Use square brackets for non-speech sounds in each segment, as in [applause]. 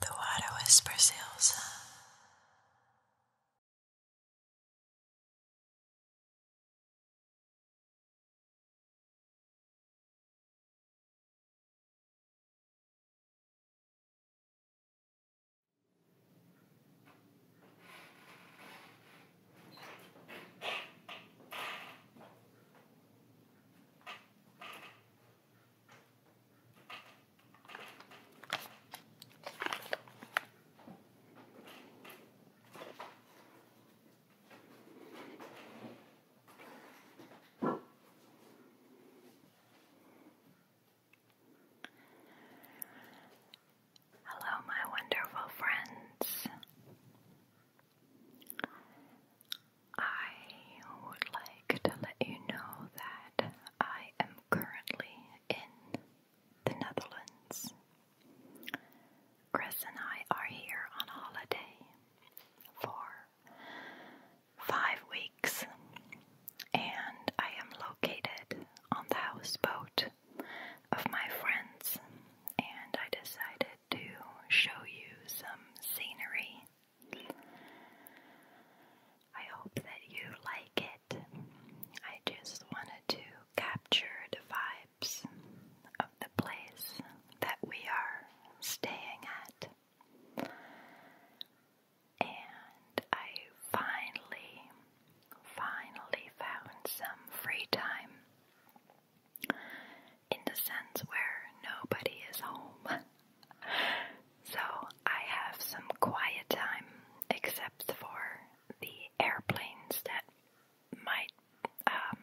The water whispers Elsa. Hello, my wonderful friends. I would like to let you know that I am currently in the Netherlands. Chris and I are here on holiday for five weeks, and I am located on the houseboat of my friends, and I decided to show you some scenery I hope that you like it. I just wanted to capture the vibes of the place that we are staying at. And I finally, finally found some free time in the sense where nobody is home. [laughs] so I have some quiet time, except for the airplanes that might um,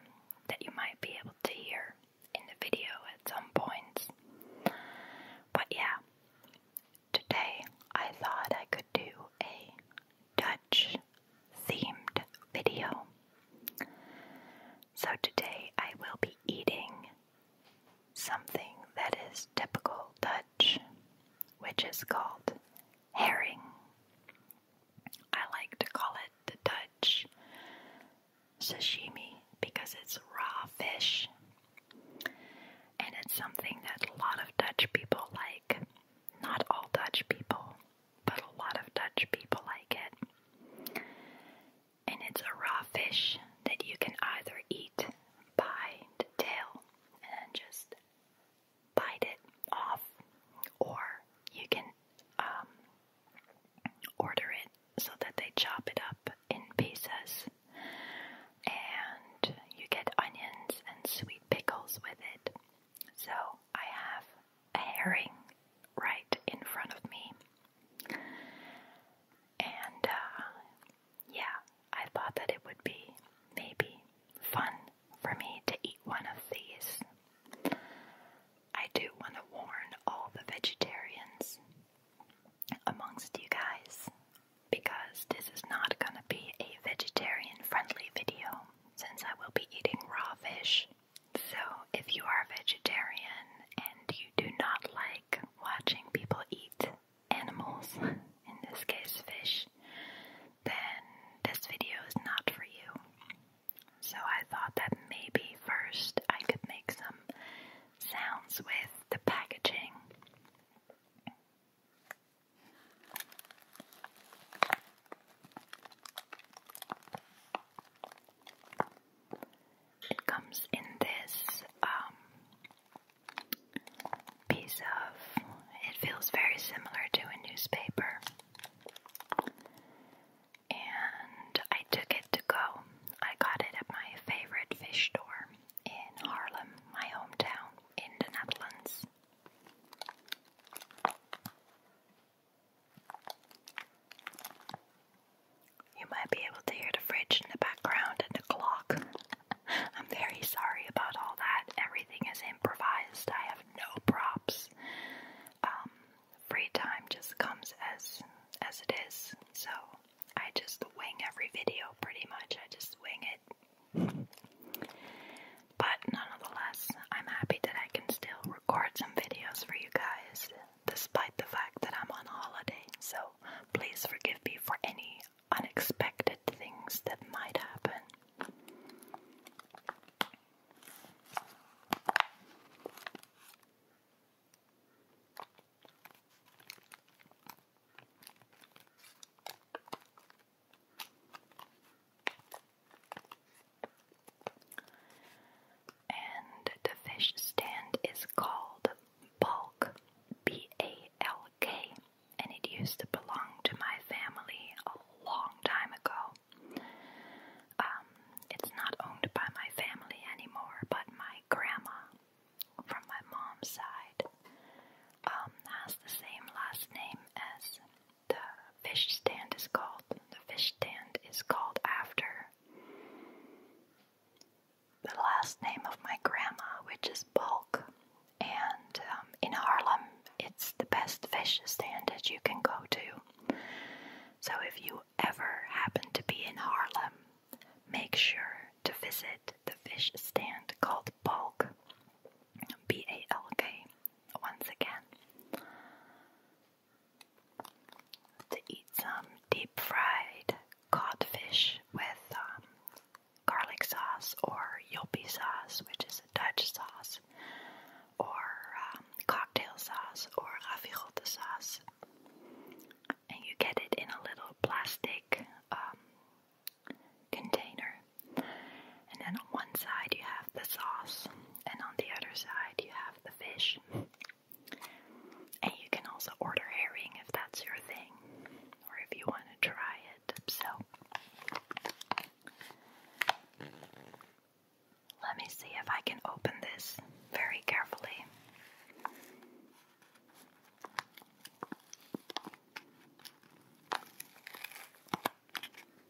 that you might be able to hear in the video at some points. But yeah, today I thought I could do a Dutch themed video. So today I will be eating something that is typical Dutch, which is called herring. I like to call it the Dutch sashimi because it's raw fish. And it's something that a lot of Dutch people like. Not all Dutch people, but a lot of Dutch people like it and it's a raw fish that you can either eat by the tail and just bite it off, or you can um, order it so that they chop it up in pieces, and you get onions and sweet pickles with it. So I have a herring right in front of me. And uh, yeah, I thought that it would be maybe fun for me to eat one of these. I do want to warn all the vegetarians amongst you guys because this is not going to be a vegetarian friendly video since I will be eating raw fish so, if you are a vegetarian and you do not like watching people eat animals, in this case fish, then this video is not for you. So, I thought that maybe first I could make some sounds with the packaging. It comes in this um, piece of, it feels very similar to a newspaper. And I took it to go. I got it at my favorite fish store in Harlem, my hometown in the Netherlands. You might be able to hear the fridge in the background and the clock. [laughs] I'm very sorry about all that. Everything is improvised. I have no props. Um, free time just comes as as it is. So I just wing every video pretty much. I just wing it. [laughs] But nonetheless, I'm happy that I can still record some videos for you guys, despite the fact that I'm on holiday. So please forgive me for any unexpected things that might happen. And the fish stand is called Balk, B A L K, and it used to belong to my family a long time ago. Um, it's not owned by my family anymore, but my grandma from my mom's side um, has the same last name as the fish stand is called. The fish stand is called after the last name of my grandma, which is Bulk. And um, in Harlem, it's the best fish stand that you can go to. So if you ever happen to be in Harlem, make sure to visit the fish stand called Bulk. B A L K, once again to eat some deep fried codfish with um, garlic sauce or Yopi sauce, which is a Dutch sauce, or um, cocktail sauce or ravigotte sauce. And you get it in a little plastic um, container. And then on one side you have the sauce, and on the other side you have the fish. And you can also order herring if that's your thing, or if you want to try it. So, let me see if I can open this very carefully.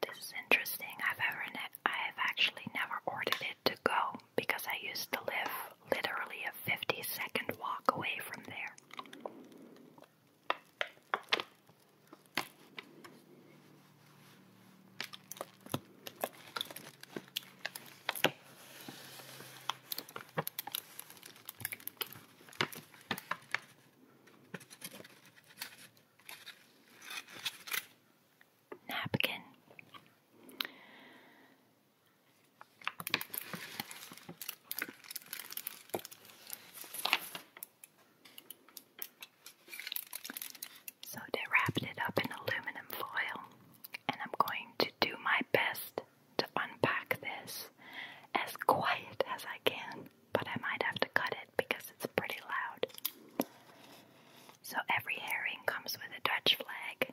This is interesting. I've ever I have actually never ordered it to go because I used to live literally a 50 second walk away from there napkin. So they wrapped it up in aluminum foil, and I'm going to do my best to unpack this as quiet as I can but I might have to cut it because it's pretty loud. So every herring comes with a Dutch flag.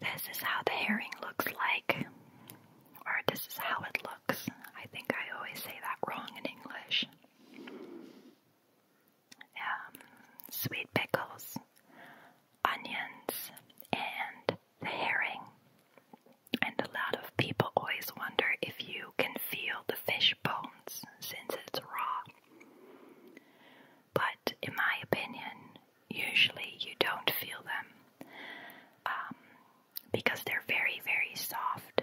This is how the herring looks like, or this is how it looks. I think I always say that wrong in English. Um, sweet pickles, onions, and the herring. And a lot of people always wonder if you can feel the fish bones since it's raw but in my opinion, usually you don't feel them um, because they're very, very soft.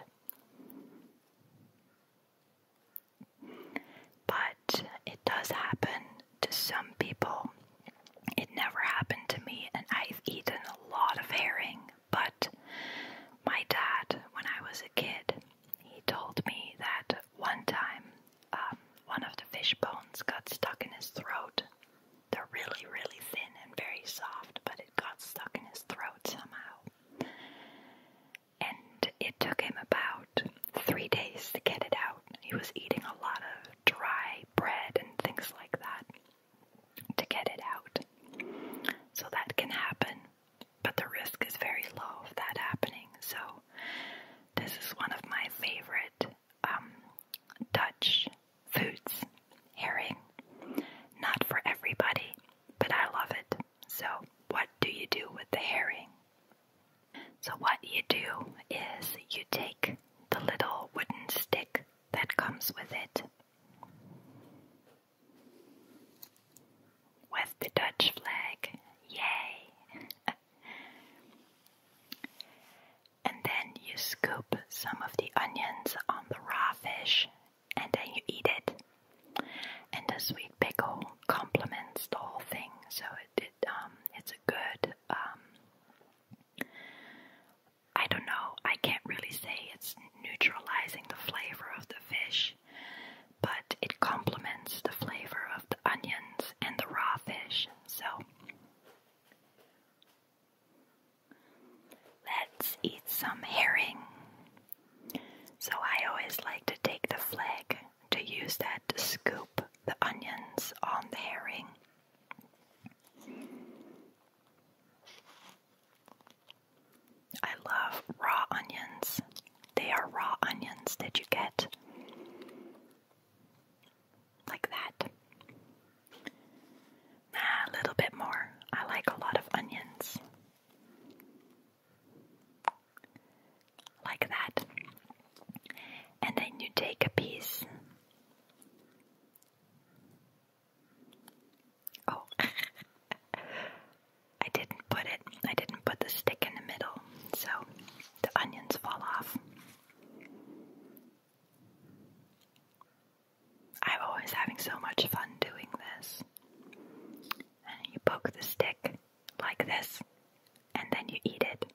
But it does happen to some people. It never happened to me, and I've eaten a lot of herring. But my dad, when I was a kid, he told me that one time, um, one of the fish bones got stuck in his throat. They're really, really thin and very soft, but it got stuck in his throat somehow. And it took him about three days to get it out. He was eating a lot of dry bread and things like that to get it out. So that can happen, but the risk is very low of that happening. So this is one of my favorite um, Dutch foods, herring. Not for everybody, but I love it. So, what do you do with the herring? So, what you do is you take the little wooden stick that comes with it. With the Dutch flag, yay! and then you scoop some of the onions on the raw fish and then you eat it. And the sweet pickle complements the whole thing, so it, it um it's a good um I don't know, I can't really say it's neutralizing the flavor of the fish, but it complements the flavor of the onions and the raw fish. So let's eat some herring. So I always like to take the flag to use that to scoop the onions on the herring. I love raw onions. They are raw onions Did you get like that. Nah, a little bit more. I like a lot of onions. Like that. And then you take a piece. Oh. [laughs] I didn't put it, I didn't put the stick in the middle, so the onions fall off. I'm always having so much fun doing this. you poke the stick like this, and then you eat it.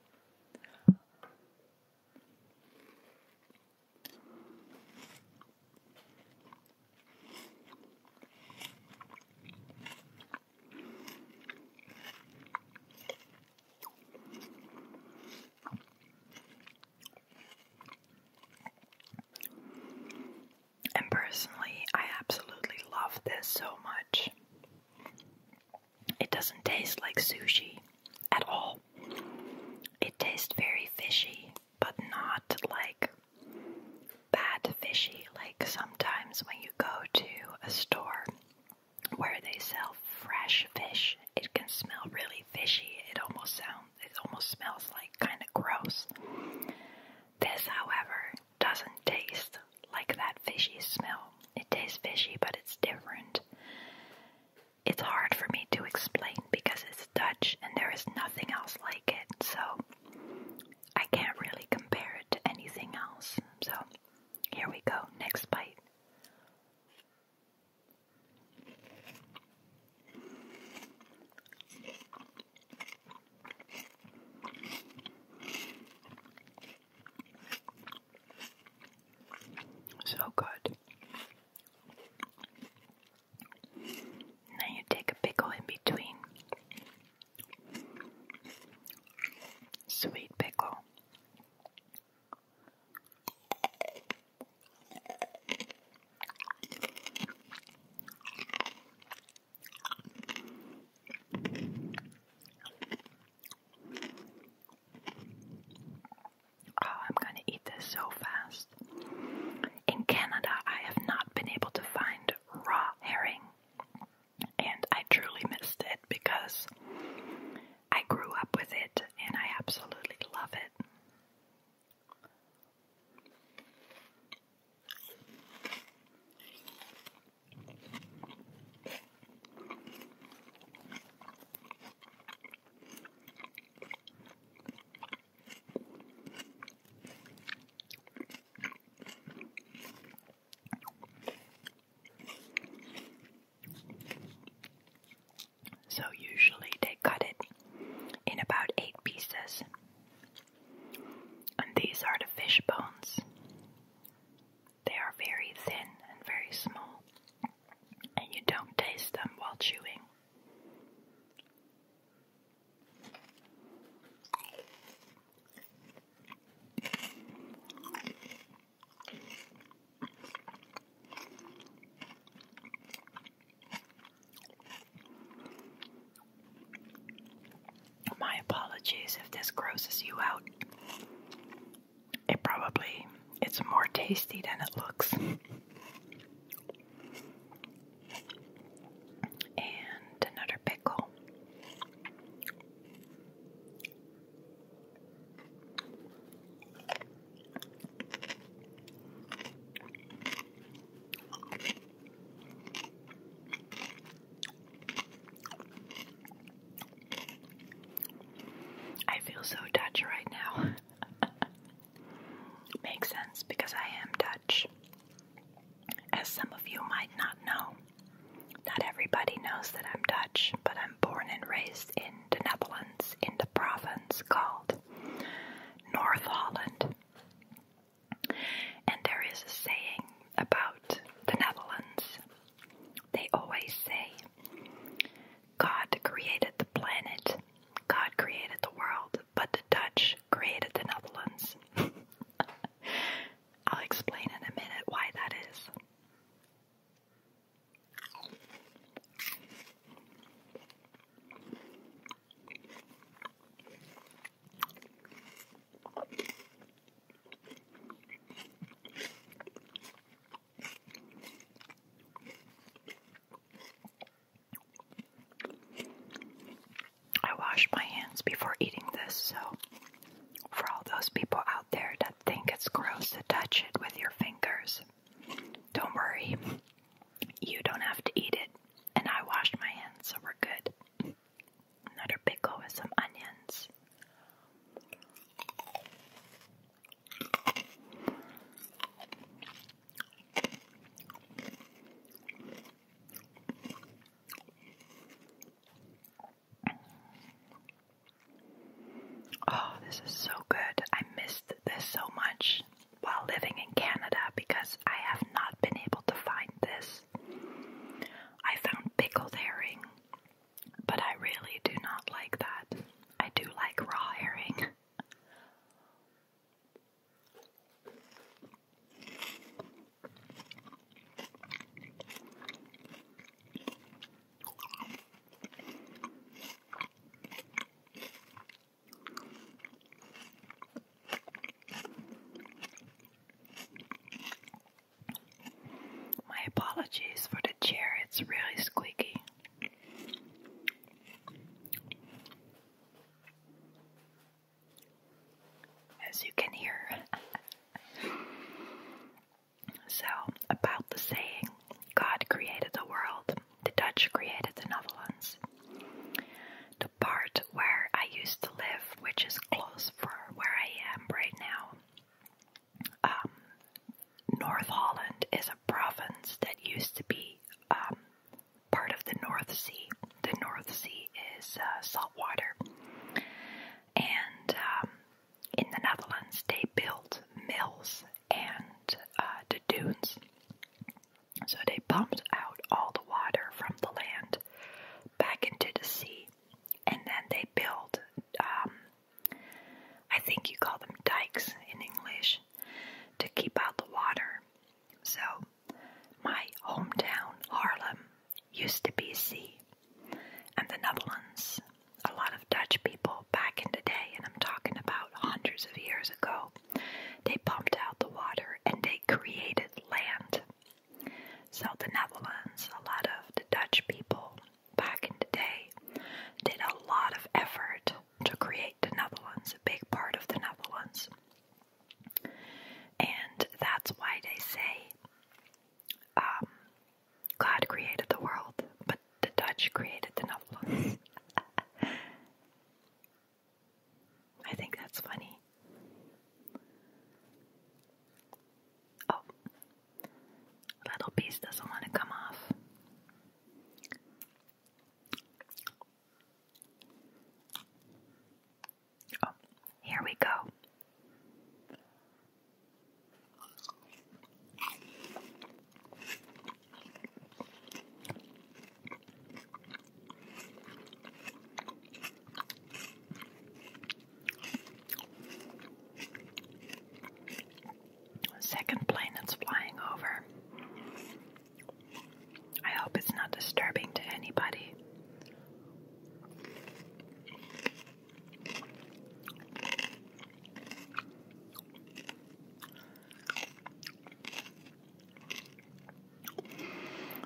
And personally, I absolutely love this so much. It doesn't taste like sushi at all. It tastes very fishy, but not like bad fishy. Like sometimes when you go to a store where they sell fresh fish, it can smell really fishy. It almost sounds, it almost smells like kind of gross. This, however, doesn't taste like that fishy smell. It tastes fishy, but it's different. It's hard for me to explain because it's Dutch and there is nothing else like it. So I can't really compare it to anything else. So here we go, next bite. So good. Now you take a pickle in between Sweet pickle. Oh, I'm going to eat this so fast. In Canada, I have not been able to find raw herring and I truly missed it because I grew up with it and I absolutely love it. So, usually they cut it in about eight pieces, and these are the fish bones. They are very thin and very small, and you don't taste them while chewing. My apologies if this grosses you out. It probably it's more tasty than it looks and another pickle. I feel so Dutch right now. [laughs] Makes sense because I am Dutch. Dutch. As some of you might not know, not everybody knows that I'm Dutch, but I'm born and raised in the Netherlands in the province called North Holland. And there is a saying about the Netherlands. They always say, God created the planet, God created the world, but the Dutch created the Netherlands. [laughs] I'll explain in a minute why that is. I washed my hands before eating this, so for all those people out there that think it's gross to touch it with your fingers, don't worry. You don't have to eat it. And I washed my hands, so we're good. Another pickle with some onions. Oh, this is so good. I missed this so much while living in Canada because I have not been able to find this. I found pickled herring, but I really do not like that. I do like raw herring. My apologies for the chair, it's really squeaky as you can hear. [laughs] so, about the saying, God created the world, the Dutch created the Netherlands. The part where I used to live, which is close for where I am right now, um, North Holland is a province that used to be um, part of the North Sea. The North Sea is uh, salt water, and um, in the Netherlands they built mills and uh, the dunes. So they pumped out all the water from the land back into the sea, and then they built. Um, I think you call them dikes in English to keep out the water. So my hometown, Harlem, used to be sea, and the Netherlands, a lot of Dutch people back in the day, and I'm talking about hundreds of years ago, they pumped out the water and they created land. So the Netherlands, a lot of the Dutch people back in the day, did a lot of effort to create the Netherlands, a big part of the Netherlands. And that's why they say um, God created the world, but the Dutch created the Netherlands. [laughs] I think that's funny. Oh, little piece doesn't want to come off. Oh, here we go. Second plane flying over. I hope it's not disturbing to anybody.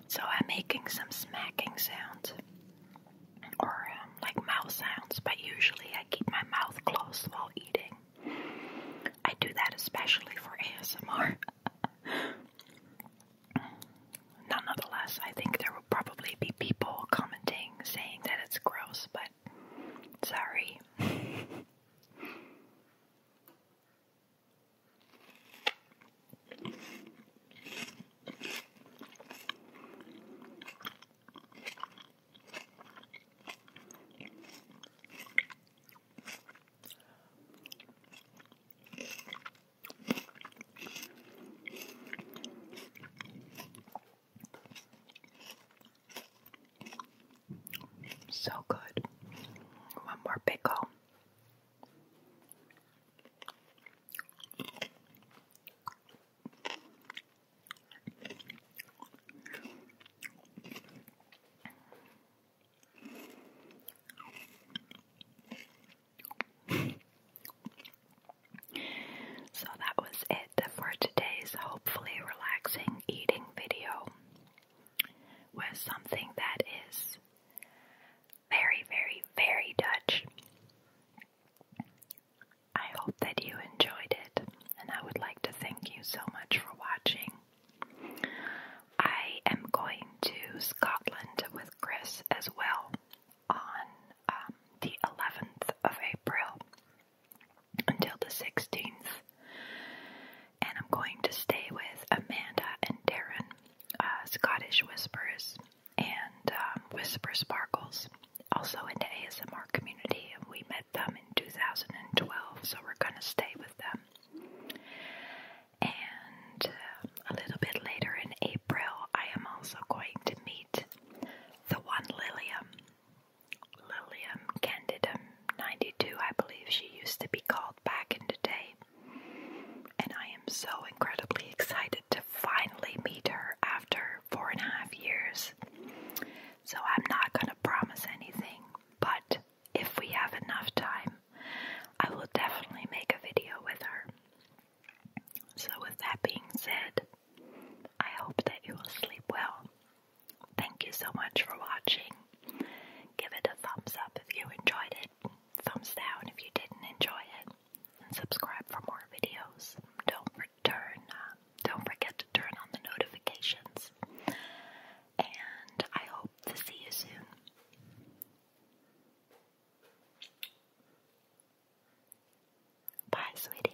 So I'm making some smacking sounds or um, like mouth sounds, but usually I keep my mouth closed while eating. I do that especially for ASMR. [laughs] Nonetheless, I think there will probably be people commenting saying that it's gross, but sorry. So good. One more pickle. So that was it for today's hopefully relaxing eating video with something that is very, very, very Dutch. I hope that you enjoyed it and I would like to thank you so much for watching. I am going to Scotland with Chris as well on um, the 11th of April until the 16th, and I'm going to stay with Amanda and Darren, uh, Scottish Whispers and um, Whisper Sparkles, also in the ASMR community, and we met them in 2012, so we're gonna stay with them. And uh, a little bit later in April, I am also going to meet the one Lilium, Lilium candidum 92, I believe she used to be called back in the day. And I am so incredibly excited to finally meet her after four and a half years. So I'm not going to promise anything, but if we have enough time, I will definitely make a video with her. So, with that being said, I hope that you will sleep well. Thank you so much for watching. Give it a thumbs up if you enjoyed it, thumbs down if you didn't enjoy it, and subscribe for more videos. Don't forget return. Um, don't forget to turn on the notifications. And I hope to see you soon. Bye, sweeties.